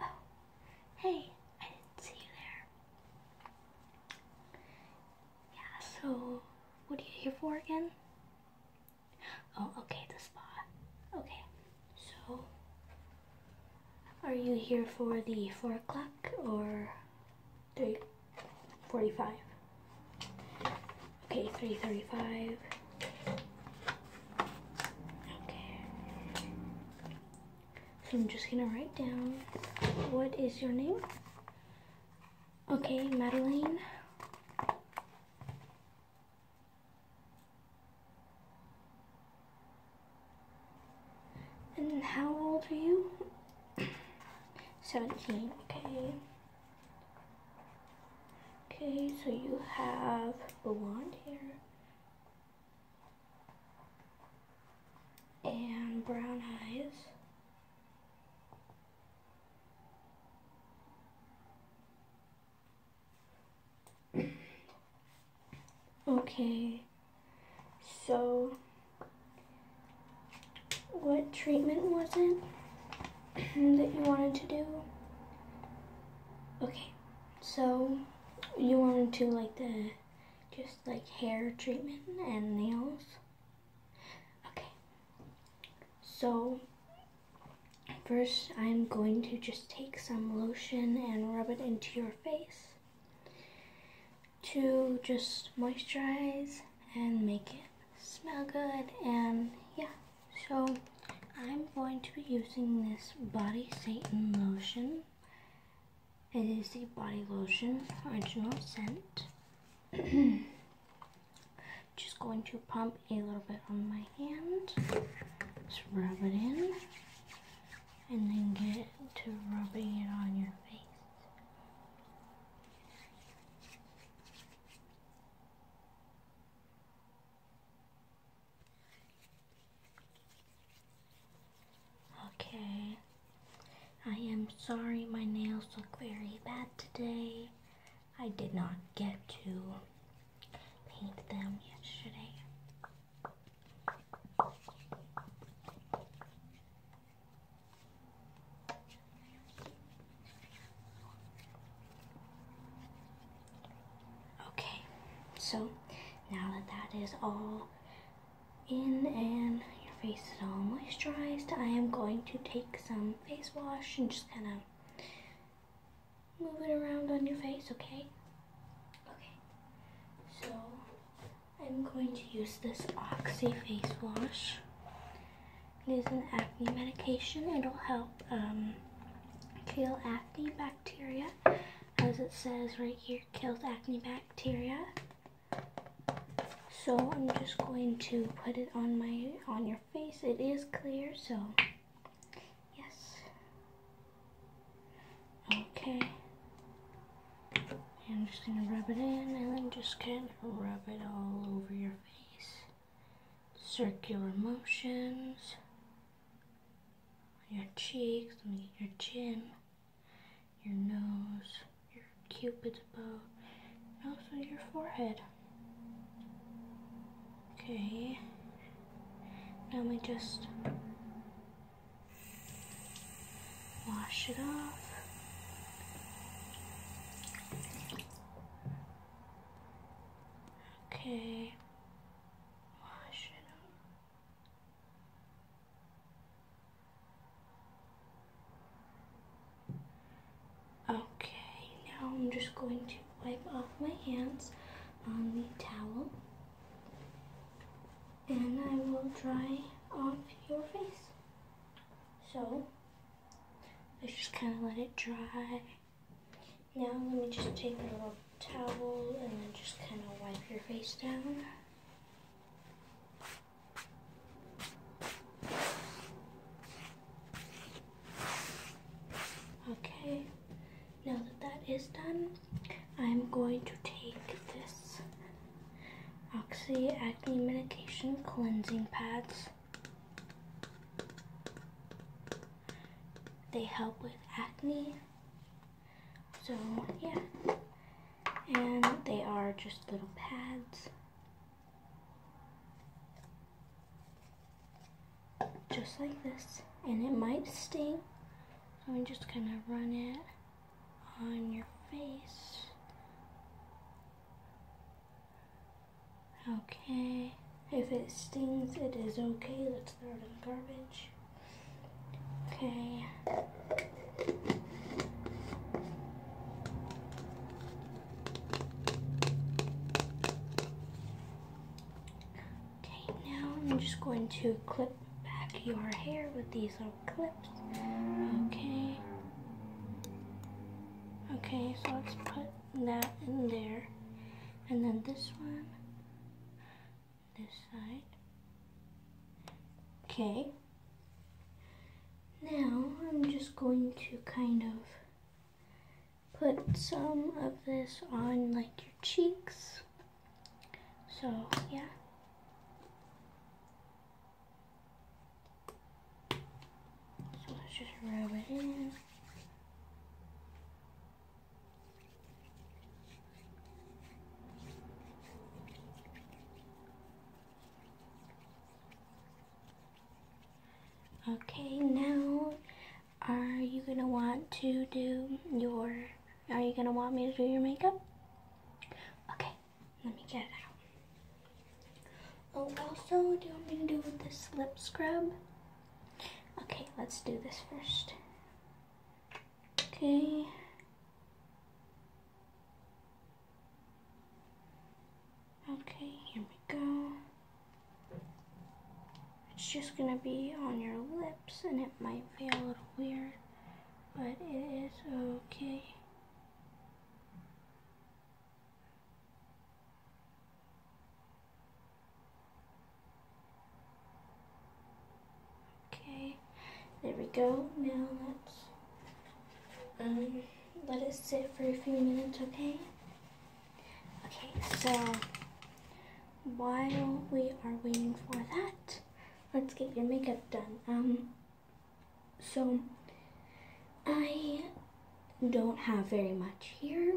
Oh, hey, I didn't see you there. Yeah, so what are you here for again? Oh, okay, the spa. Okay, so are you here for the 4 o'clock or 3.45? Okay, 3.35. Okay. So I'm just gonna write down what is your name? Okay, Madeline. And how old are you? 17, okay. Okay, so you have blonde hair and brown eyes. Okay, so what treatment was it that you wanted to do? Okay, so you want to do like the just like hair treatment and nails. Okay. So first I'm going to just take some lotion and rub it into your face to just moisturize and make it smell good and yeah. So I'm going to be using this Body Satan lotion. It is a body lotion original scent. Just going to pump a little bit on my hand. Just rub it in. And then get to rubbing it on your face. Okay. I am sorry my nails look very bad today. I did not get to paint them yesterday. Okay, so now that that is all in and your face is all moisturized, I am going to take some face wash and just kind of move it around on your face, okay? Okay, so I'm going to use this Oxy face wash. It is an acne medication. It'll help um, kill acne acne bacteria. As it says right here, kills acne bacteria. So I'm just going to put it on my on your face. It is clear, so yes. Okay. I'm just gonna rub it in and then just kind of rub it all over your face circular motions on your cheeks, your chin, your nose, your cupid's bow, and also your forehead. Okay, now we just wash it off. Okay wash it off. Okay, now I'm just going to wipe off my hands on the towel and I will dry off your face. So, let's just kind of let it dry. Now let me just take a little towel and then just kind of wipe your face down. Okay, now that that is done, I'm going to take this Oxy Acne Medication Cleansing Pads. They help with acne. So yeah. And they are just little pads. Just like this. And it might sting. So I'm just gonna run it on your face. Okay. If it stings, it is okay. Let's throw it in the garbage. Okay. Okay, now I'm just going to clip back your hair with these little clips. Okay. Okay, so let's put that in there. And then this one, this side. Okay. Now I'm just going to kind of put some of this on like your cheeks. So yeah. So let's just rub it in. Okay, now are you gonna want to do your, are you gonna want me to do your makeup? Okay, let me get it out. Oh, also, do you want me to do this lip scrub? Okay, let's do this first. Okay. Okay, here we go. It's just gonna be on your lips and it might feel a little weird, but it is okay. Okay, there we go. Now let's um, let it sit for a few minutes, okay? Okay, so while we are waiting for that, let's get your makeup done. Um, so I don't have very much here.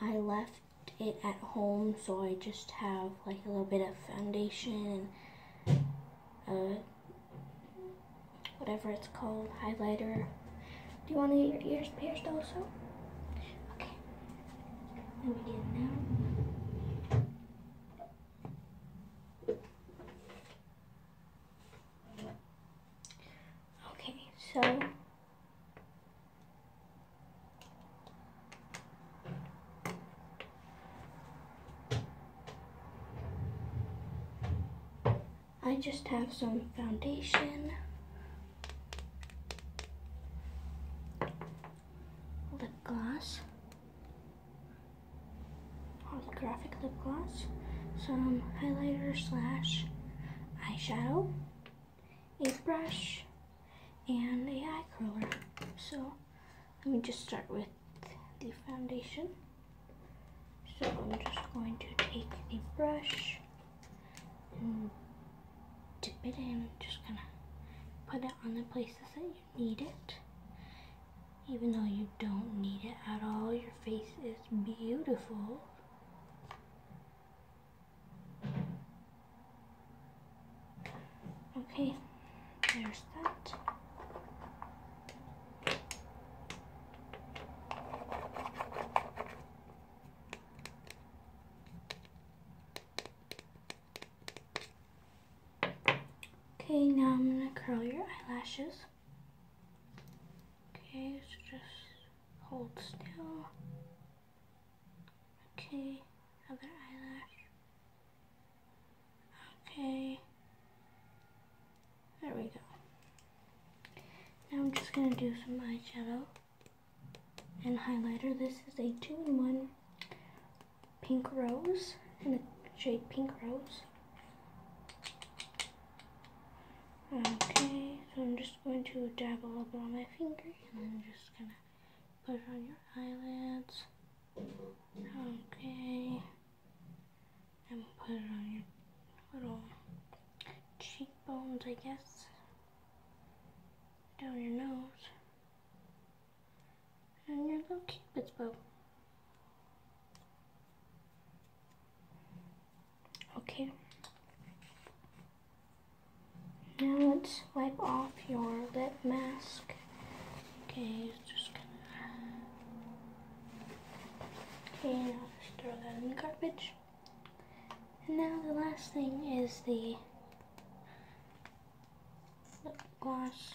I left it at home, so I just have like a little bit of foundation uh, whatever it's called, highlighter. Do you want to get your ears pierced also? Okay. Let me get it now. Okay, so I just have some foundation, lip gloss, holographic lip gloss, some highlighter slash eyeshadow, a brush, and a eye curler. So let me just start with the foundation. So I'm just going to take a brush and dip it in, just gonna put it on the places that you need it. Even though you don't need it at all, your face is beautiful. Okay, there's that. Okay, now I'm gonna curl your eyelashes. Okay, It's just Hold still. Okay, other eyelash. Okay. There we go. Now I'm just going to do some eyeshadow and highlighter. This is a 2-in-1 pink rose and the shade pink rose. Okay, so I'm just going to dab a little bit on my finger and I'm just gonna put it on your eyelids. Okay. And put it on your little cheekbones, I guess. Down your nose. And your little cupid's bow. Okay. Now let's wipe off your lip mask. Okay, just gonna. Okay, now just throw that in the garbage. And now the last thing is the lip gloss.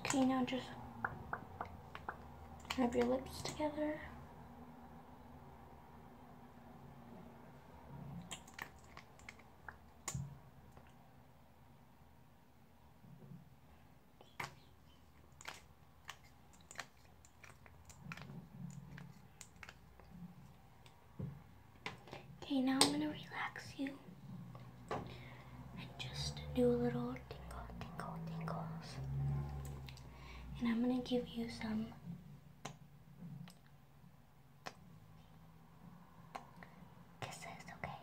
Okay, now just rub your lips together. Okay, now I'm gonna relax you and just do a little tingle, tingle, tingles. And I'm gonna give you some kisses, okay?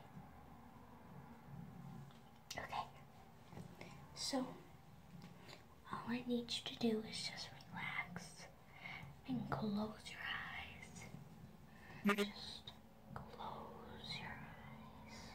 Okay. So all I need you to do is just relax and close your eyes. Just close your eyes.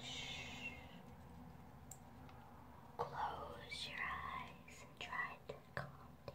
Shh. Close your eyes and try to calm down.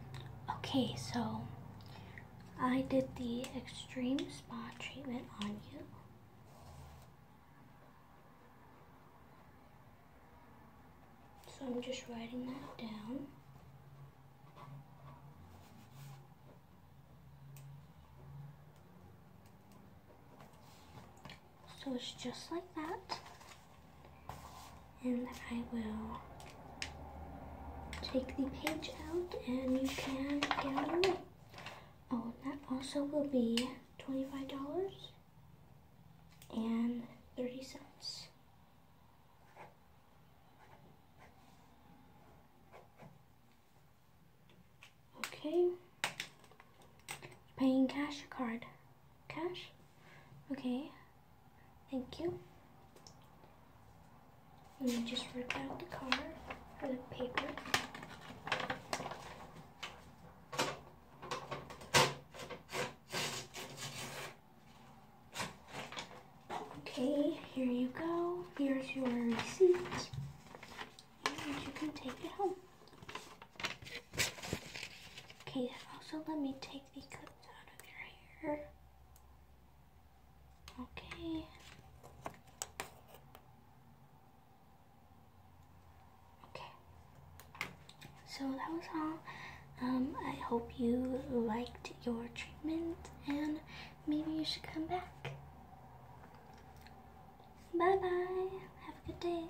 Okay, so I did the extreme spa treatment on you. So I'm just writing that down. So it's just like that and I will take the page out and you can get it away. Oh, that also will be $25 and 30 cents. Okay. Paying cash or card? Cash? Okay, thank you. Let me just rip out the card for the paper. Okay, here you go. Here's your receipt. And you can take it home. Okay, also let me take Okay. Okay. So that was all. Um, I hope you liked your treatment and maybe you should come back. Bye bye. Have a good day.